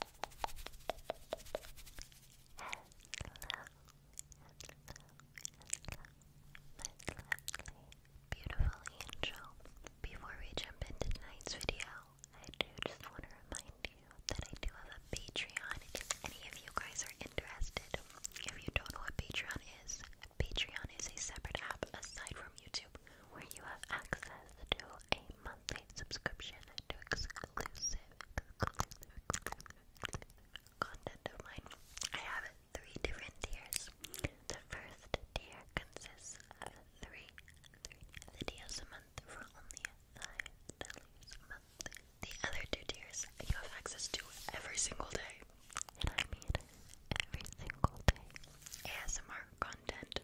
lovely, beautiful angel. Before we jump into tonight's video, I do just want to remind you that I do have a Patreon if any of you guys are interested. If you don't know what Patreon is, Patreon is a separate app aside from YouTube where you have access to a monthly subscription to exclusive, content of mine. I have three different tiers. The first tier consists of three, videos a month for only $9 a month. The other two tiers you have access to every single day. And I mean every single day. ASMR content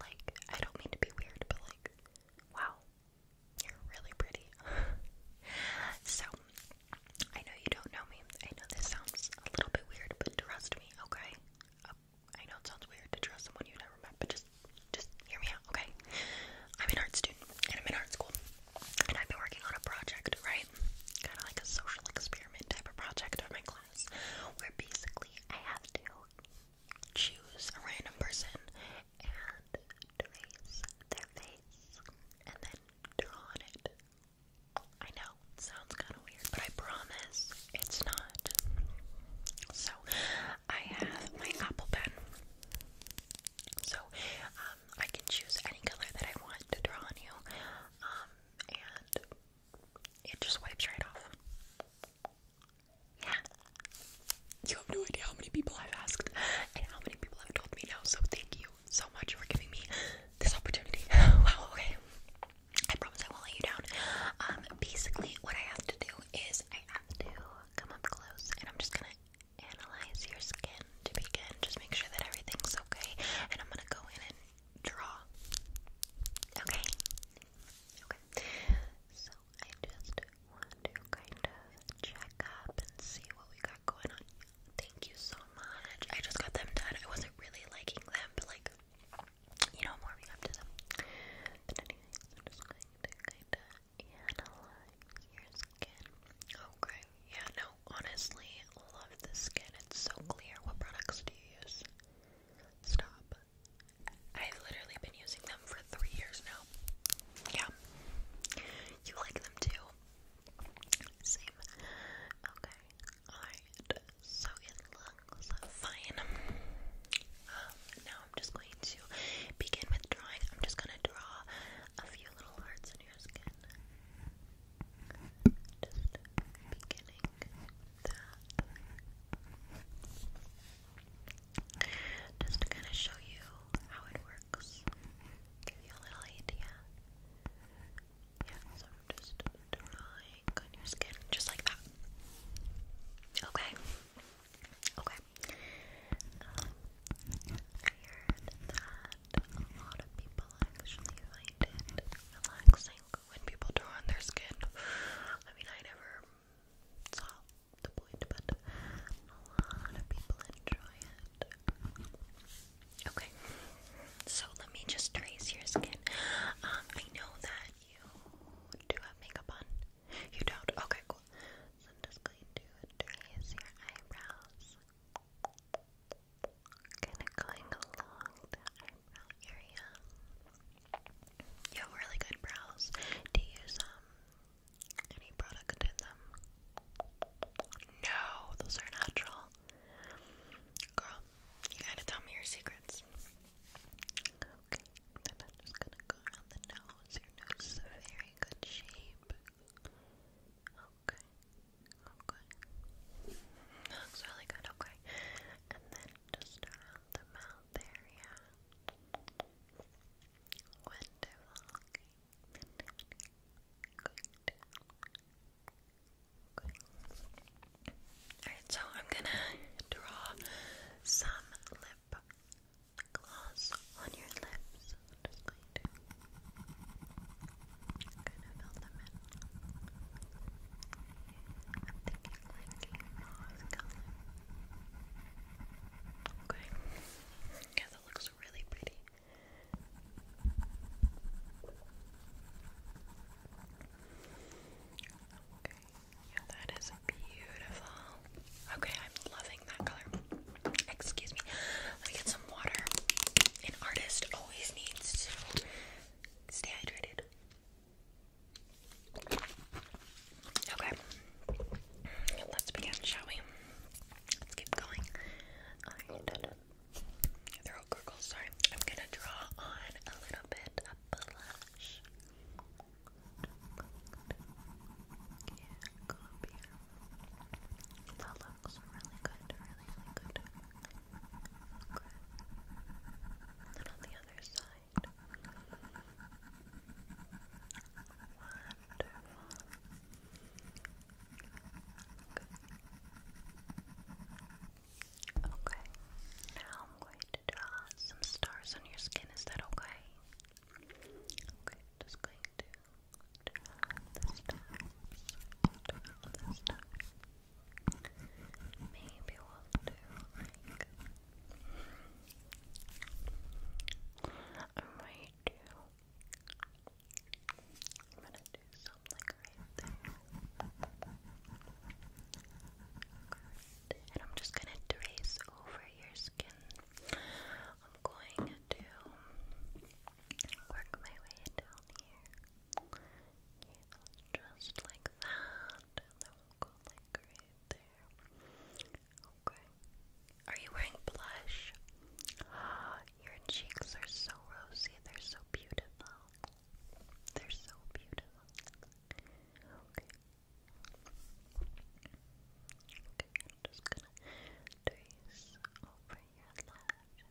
Like, I don't mean to be weird, but like, wow, you're really pretty. so, I know you don't know me. I know this sounds a little bit weird, but trust me, okay? Uh, I know it sounds weird to trust someone you've never met, but just, just hear me out, okay? I'm an art student, and I'm in art school, and I've been working on a project, right? Kind of like a social experiment type of project of my class where basically I have to choose a random person and trace their face and then draw on it. I know, sounds kind of weird, but I promise it's not. So, I have my apple pen. So, um, I can choose any color that I want to draw on you. Um, and it just wipes right off. Yeah. You have no idea how many people I've asked and how many people have told me no, so thank you so much for giving me this opportunity. wow, okay. I promise I won't let you down. Um, basically, what I have to do is I have to come up close and I'm just gonna analyze your skin to begin. Just make sure that everything's okay. And I'm gonna go in draw. Okay? Okay. So I just want to kind of check up and see what we got going on. Thank you so much. I just got them done. I wasn't really liking them, but like, you know, I'm warming up to them. But anyways, I'm just going to kind of analyze your skin. Okay. Yeah, no, honestly, love this skin. It's so clear. What products do you use? Stop. I've literally been using them for three years now. Yeah. You like them too? Same. Okay. Alright. So it looks fine. Um, now I'm just going to begin with drawing. I'm just gonna draw a few little hearts in your skin beginning with that. Just to show you how it works, give you a little idea. Yeah, so I'm just drawing on your skin, just like that. Okay. Okay. Um, I heard that a lot of people actually find it relaxing like when people draw on their skin. I mean, I never saw the point, but a lot of people enjoy it. Okay, so let me just trace your skin. Um, I know that you do have makeup on. You don't? Okay, cool. So I'm just going to trace your eyebrows. Kind of going along the eyebrow area. You have really good brows. Do you use um, any product in them? No, those are natural. Girl, you gotta tell me your secrets. Okay, then I'm just gonna go around the nose. Your nose is a very good shape. Okay. Okay. looks really good. Okay. And then just around the mouth area. Okay. Good. Okay. Alright, so I'm gonna draw some lip gloss on your lips. Kind of I'm thinking like rose color. Okay. Yeah, that looks really pretty. Okay. Yeah, that is beautiful. Okay, I'm loving that color. Excuse me. Let me get some some water. An artist always needs stay hydrated. Okay, let's begin, shall we? Let's keep going. Alright, throat gurgles, sorry. I'm gonna draw on a little bit of blush looks really good, really, really good. And on the other side. Wonderful. Okay. Now I'm going to draw some stars on your skin. Is that okay? Okay, just going to this time. Maybe we'll do I might do I'm gonna do something right there. And I'm just gonna trace over your skin. I'm going to Work my way down here. just like that. And then we'll go like right there. Okay. Are you wearing blush? Your cheeks are so rosy. They're so beautiful. They're so beautiful. Okay. just gonna trace over your lashes.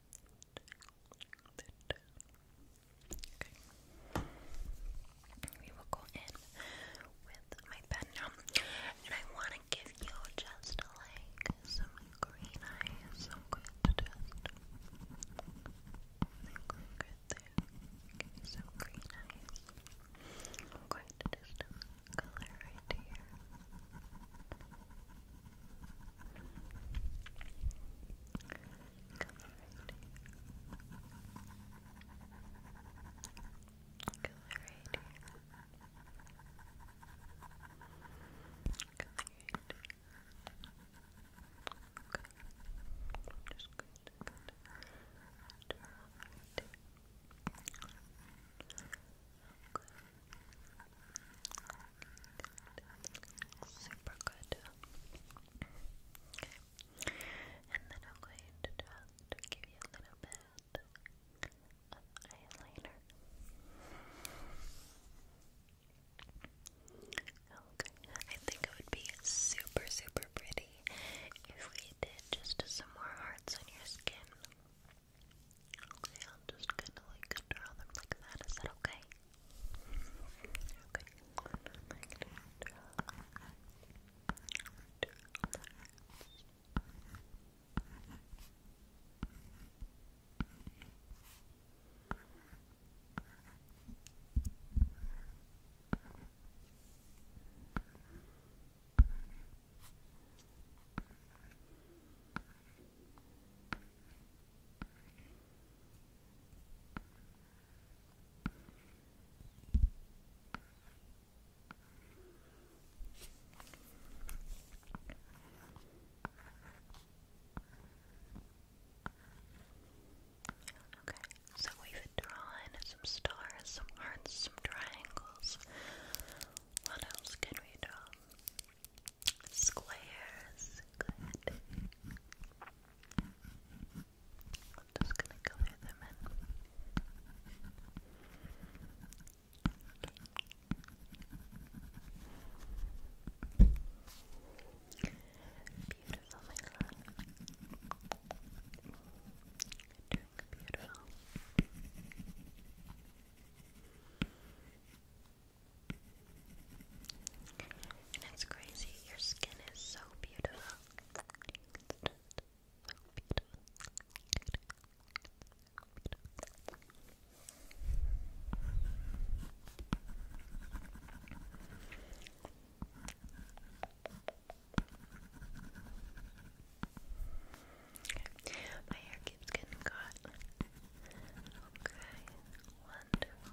Okay. We will go in with my pen And I want to give you just like some green eyes. I'm going to just go right there. Give you some green eyes. I'm going to just color right here. Color right here. Color right here. Okay. Just going to turn on that. Turn on that. Super good. Okay. And then I'm going to just give you a little bit of eyeliner. Okay. I think it would be super, super pretty if we did just some more hearts on your skin. Okay, I'm just gonna like draw them like that. Is that okay? Okay. I'm gonna like draw draw that. Okay. Okay, so we've drawn some stars, some hearts, some triangles. What else can we draw? Squares. Good. just gonna color them in. Beautiful, my love. Doing beautiful. And it's crazy, your skin is so Beautiful. Okay. My hair keeps getting caught. Okay. Wonderful.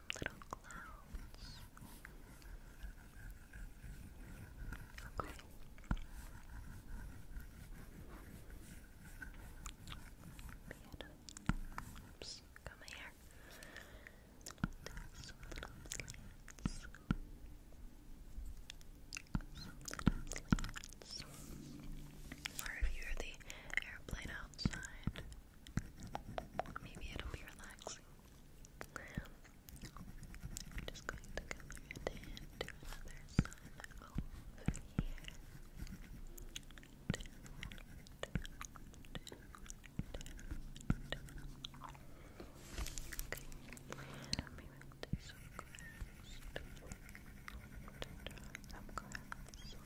little clouds. Okay. Oops, come here. Or if you hear the airplane outside, Maybe it'll be relaxing. just going to color it in to another sun over here. Okay,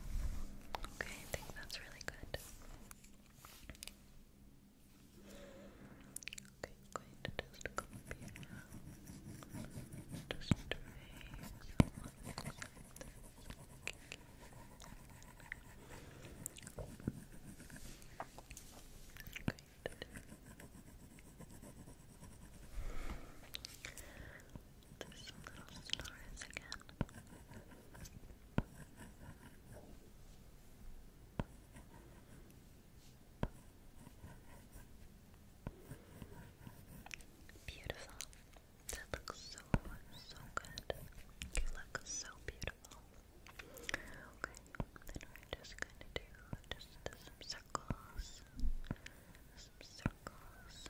Okay, I think that's really good. Okay, i going to just come up here now. Just Great. Just some little stars again. Beautiful. That looks so, so good. You look so beautiful. Okay, then we're just going to do just some circles. Some circles.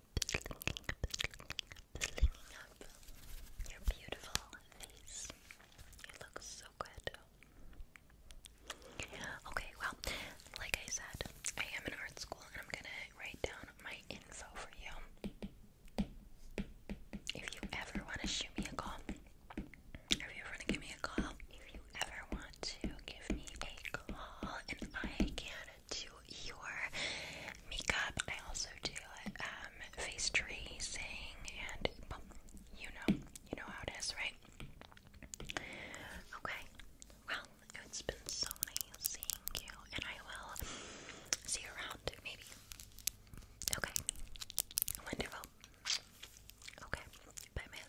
Slinging up your beautiful face. You look so good. Okay, well, like I said, I am in art school and I'm gonna write down my info for you. If you ever want to shoot me a call, if you ever want to give me a call, if you ever want to give me a call and I can to your makeup. I also do um, face tracing and you know, you know how it is, right? Okay. Well, it's been so nice seeing you, and I will see you around maybe. Okay. Wonderful. Okay. Bye, my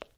love.